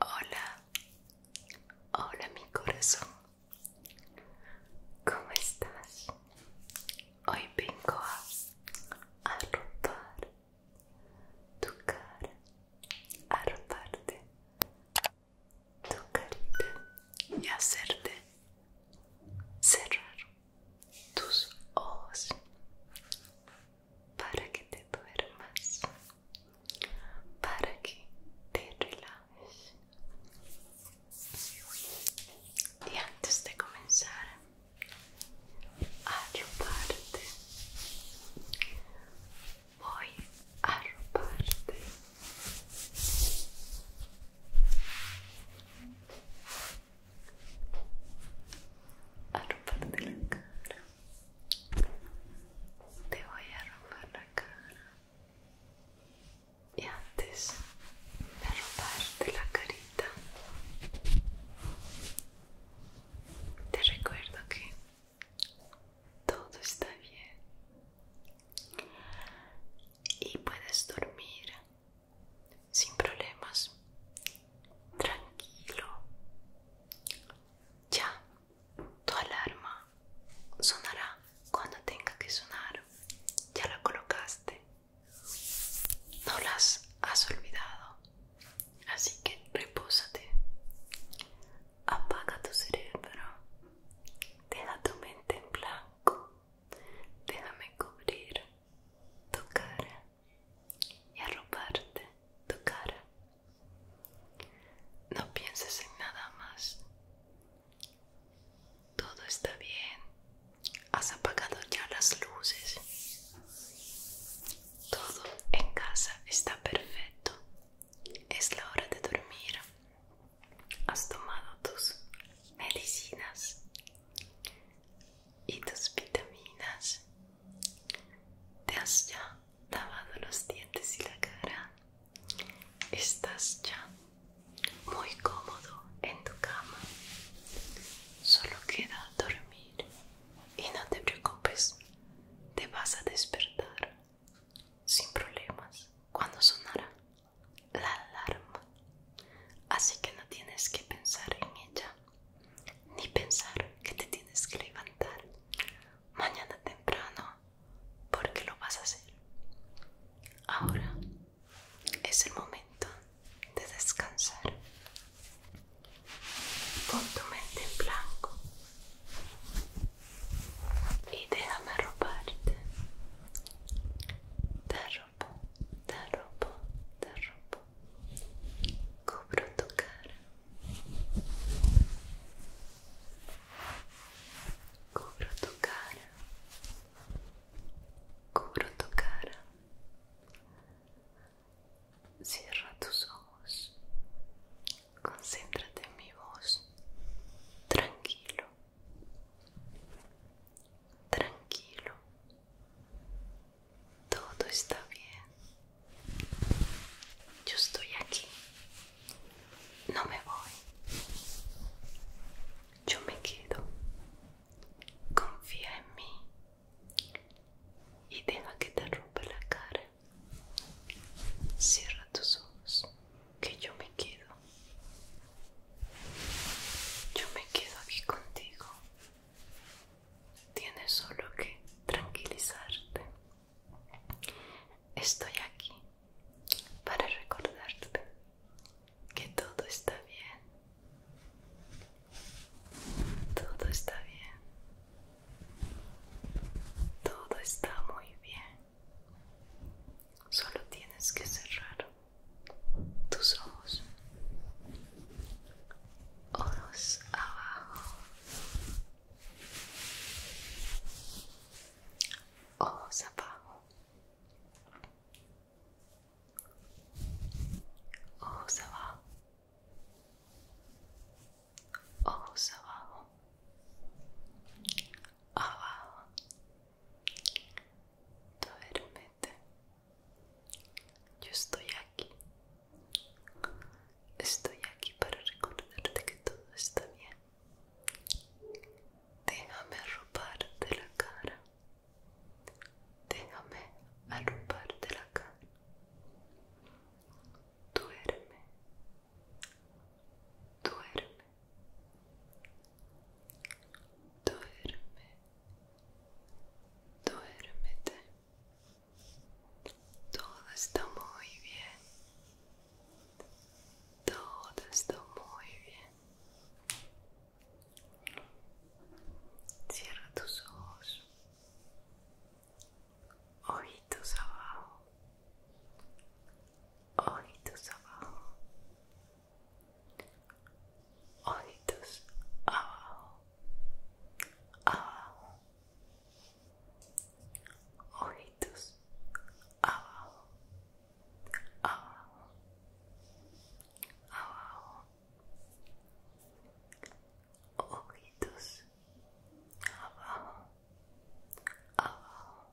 Hola, hola mi corazón, ¿cómo estás? Hoy vengo a, arrotar tu cara, a tu carita y hacerte cerrar tus ojos para que te duermas, para que te relajes. Y antes de comenzar a parte, voy a robarte a la cara te voy a romper la cara y antes de romperte la carita te recuerdo que todo está bien y puedes dormir sin problemas, tranquilo. Ya, tu alarma sonará cuando tenga que sonar. Ya la colocaste. No las has olvidado. Así que repósate. Apaga tu cerebro. Deja tu mente en blanco déjame cubrir tu cara y arroparte tu cara. No pienses en nada más. Todo está bien. Has apagado ya las luces. Todo en casa está perfecto. Es la hora de dormir has tomado tus medicinas y tus vitaminas, te has ya lavado los dientes y la cara, estás ya muy cómodo en tu cama, solo queda dormir y no te preocupes, te vas a despertar sin problemas cuando sonará la alarma, así que no tienes que pensar en ella, ni pensar que te tienes que levantar mañana temprano, porque lo vas a hacer. Ahora es el momento de descansar. Pon tu mente en blanco y déjame robarte. Te robo, te robo, te robo. Cubro tu cara. Cubro tu cara. Cubro tu cara. Cierra tus ojos. Concéntrate en mi voz. Tranquilo. Tranquilo, todo está bien. Yo estoy aquí, no me voy. Yo me quedo. Confía en mí y deja que te rompe la cara. Cierra tus ojos que yo me quedo. Yo me quedo aquí contigo. Tienes solo que tranquilizarte. Estoy aquí para recordarte que todo está bien. Todo está bien. Todo está muy bien. Solo tienes que cerrar tus ojos. Ojos abajo. Ojos abajo. Ojos abajo. Ojos abajo abajo duérmete yo estoy aquí estoy aquí para recordarte que todo está bien déjame arroparte la cara déjame arroparte la cara duerme, duerme, duerme, duérmete. Todo está muy bien, todo está muy bien. Cierra tus ojos ojitos abajo, ojitos abajo, ojitos abajo, abajo, ojitos abajo, abajo, abajo, ojitos abajo, abajo,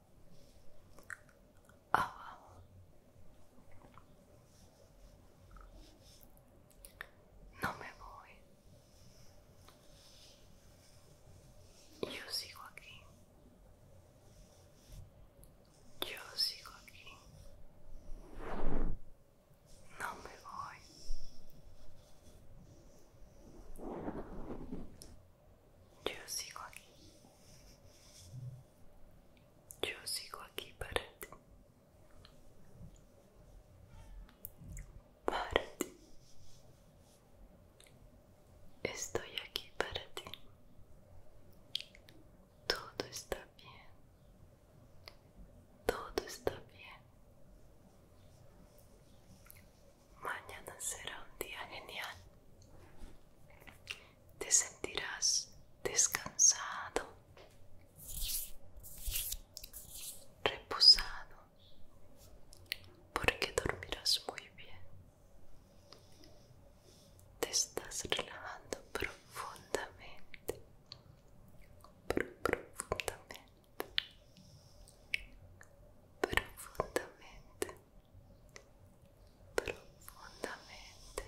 abajo. No me voy. Yo sigo aquí. Yo sigo aquí. No me voy. Yo sigo aquí. Yo sigo aquí para ti. Para ti. Estoy aquí para ti. Todo está bien. Todo está bien. Mañana será un día genial. Te sentirás descansado, reposado, porque dormirás muy bien. Te estás relajando profundamente, profundamente. profondamente profondamente profondamente profondamente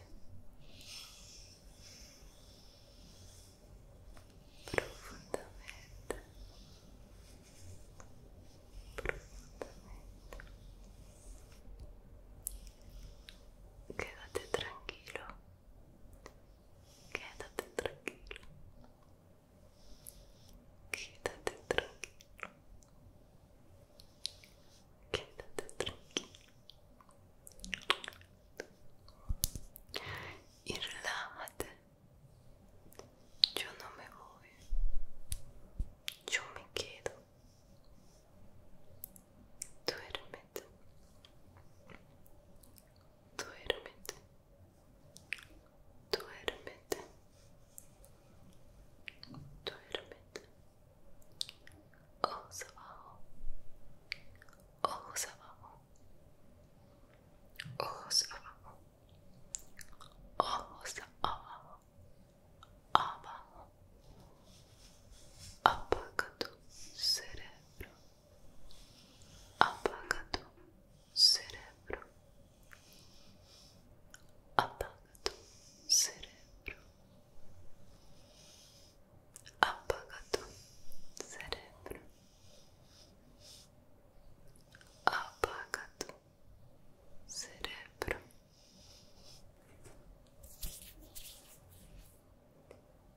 quédate tranquilo quédate tranquilo Quédate tranquilo. Quédate tranquilo. Y relájate. Yo no me voy. Yo me quedo. Duerme, Duérmete duérmete, duérmete, ojos abajo, ojos abajo, ojos abajo, ojos abajo, abajo, apaga tu cerebro. Apagado cerebro, apagado cerebro, apagado cerebro, apagado cerebro.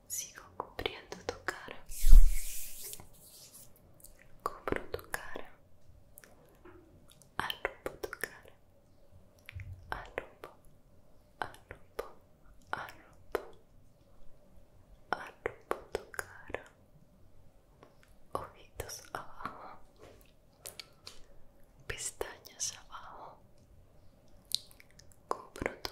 Sigo cubriendo tu cara. Cubro tu cara. Arrupo tu cara. Arrupo, arrupo, arrupo. Arrupo tu cara. Ojitos abajo. Pestañas abajo. Cubro tu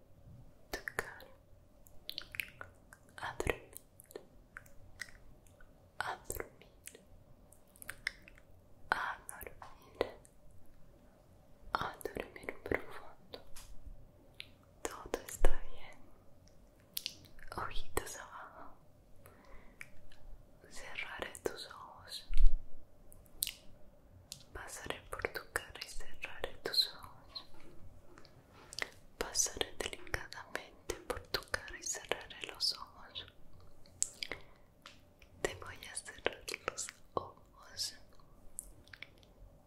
tocar, a dormir, a dormir, a dormir, a dormir profundo. Todo está bien. Ojitos abajo. Cerraré tus ojos. Pasaré por tu cara y cerraré tus ojos. Pasaré delicadamente por tu cara y cerraré los ojos. Te voy a cerrar los ojos.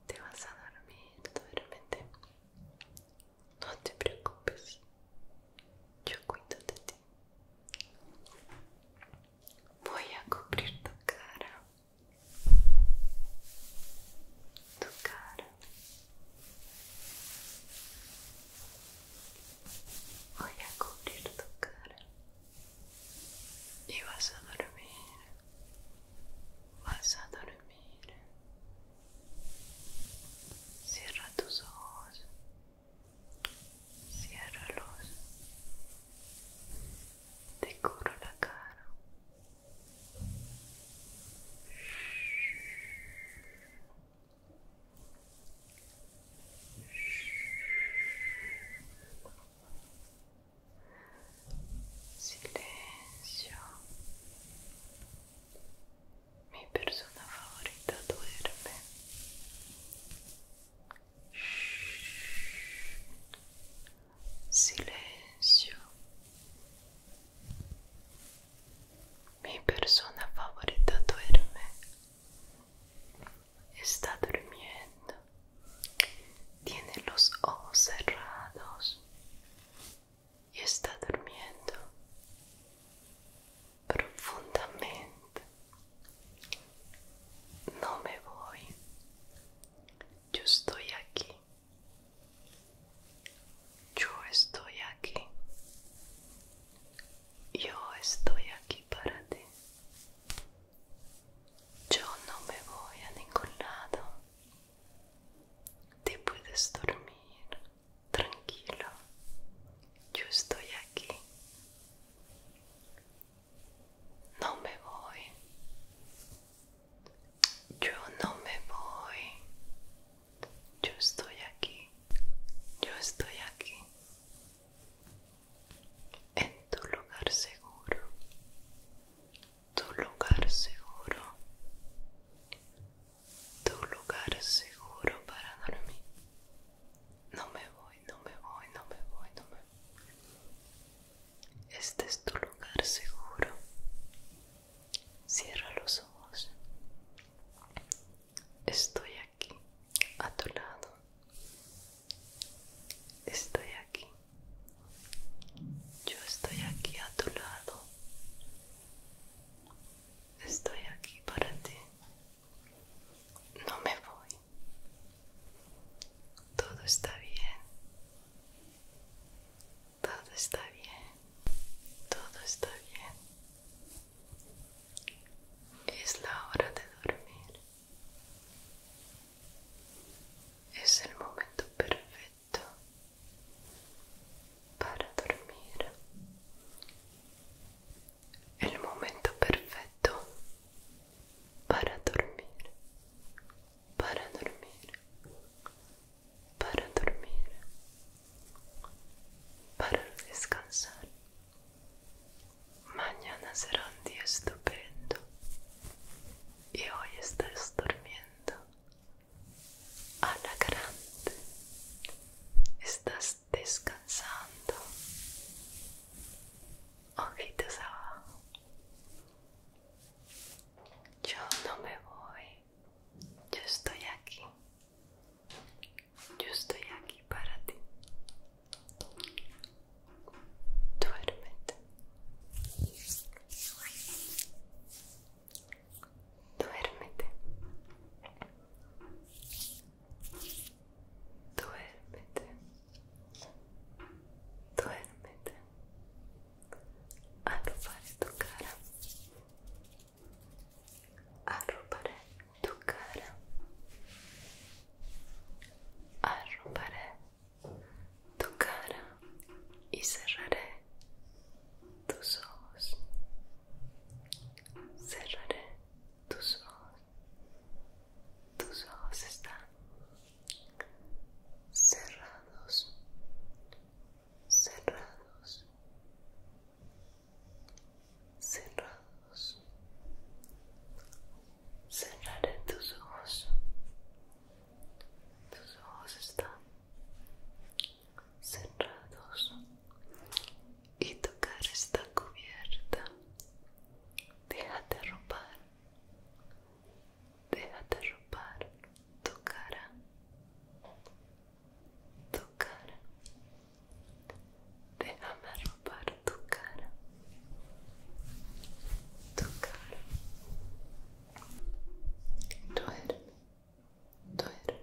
Te vas a dormir, realmente No te preocupes. Yo cuido de ti. Voy a cubrir tu cara. do cara. Olha a cor do cara. E vas a dormir. Vas a dormir. Cierra tus ojos. Ciérralos. Decoro la cara silencio mi persona favorita duerme Silencio. Mi persona favorita duerme. Está durmiendo. Tiene los ojos cerrados. Y está durmiendo profundamente. No me voy. Yo estoy aquí. Yo estoy aquí. Yo estoy aquí para ti. Yo no me voy a ningún lado. Te puedes dormir tranquilo. Yo estoy aquí. No me voy. Yo no me voy. Yo estoy aquí. Yo estoy aquí. En tu lugar seguro. Tu lugar seguro. Tu lugar seguro para dormir. No me voy, no me voy, no me voy, no me voy. Este es tu lugar seguro. Cierra los ojos. Estoy aquí, a tu lado. Estoy aquí. Yo estoy aquí a tu lado. Estoy aquí para ti. No me voy. Todo está bien. Todo está bien. Todo está bien. Es la hora de dormir. Es el momento perfecto para dormir el momento perfecto para dormir, para dormir, para dormir, para descansar. Mañana será un día estupendo y hoy estás durmiendo a la grande. Estás descansando. Ojitos abajo. Yo no me voy. Yo estoy aquí. Yo estoy aquí para ti. Duérmete. Duérmete. Duérmete. Duérmete. Arroparé tu cara. Arroparé tu cara. Arroparé tu cara y cerraré tus ojos. Cerraré tus ojos, tus ojos están cerrados, cerrados, cerrados. Cerraré tus ojos, tus ojos están cerrados y tu cara está cubierta. Déjate robar. déjate robar tu cara, tu cara. Déjame robar tu cara, tu cara. Duerme, duerme.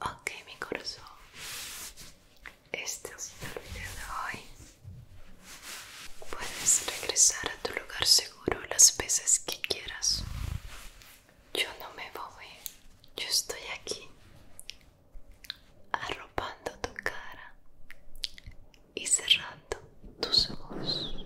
Ok, mi corazón. Este es el video de hoy. Puedes regresar a tu lugar seguro las veces que quieras. Yo no me voy. Yo estoy aquí arropando tu cara y cerrando tus ojos.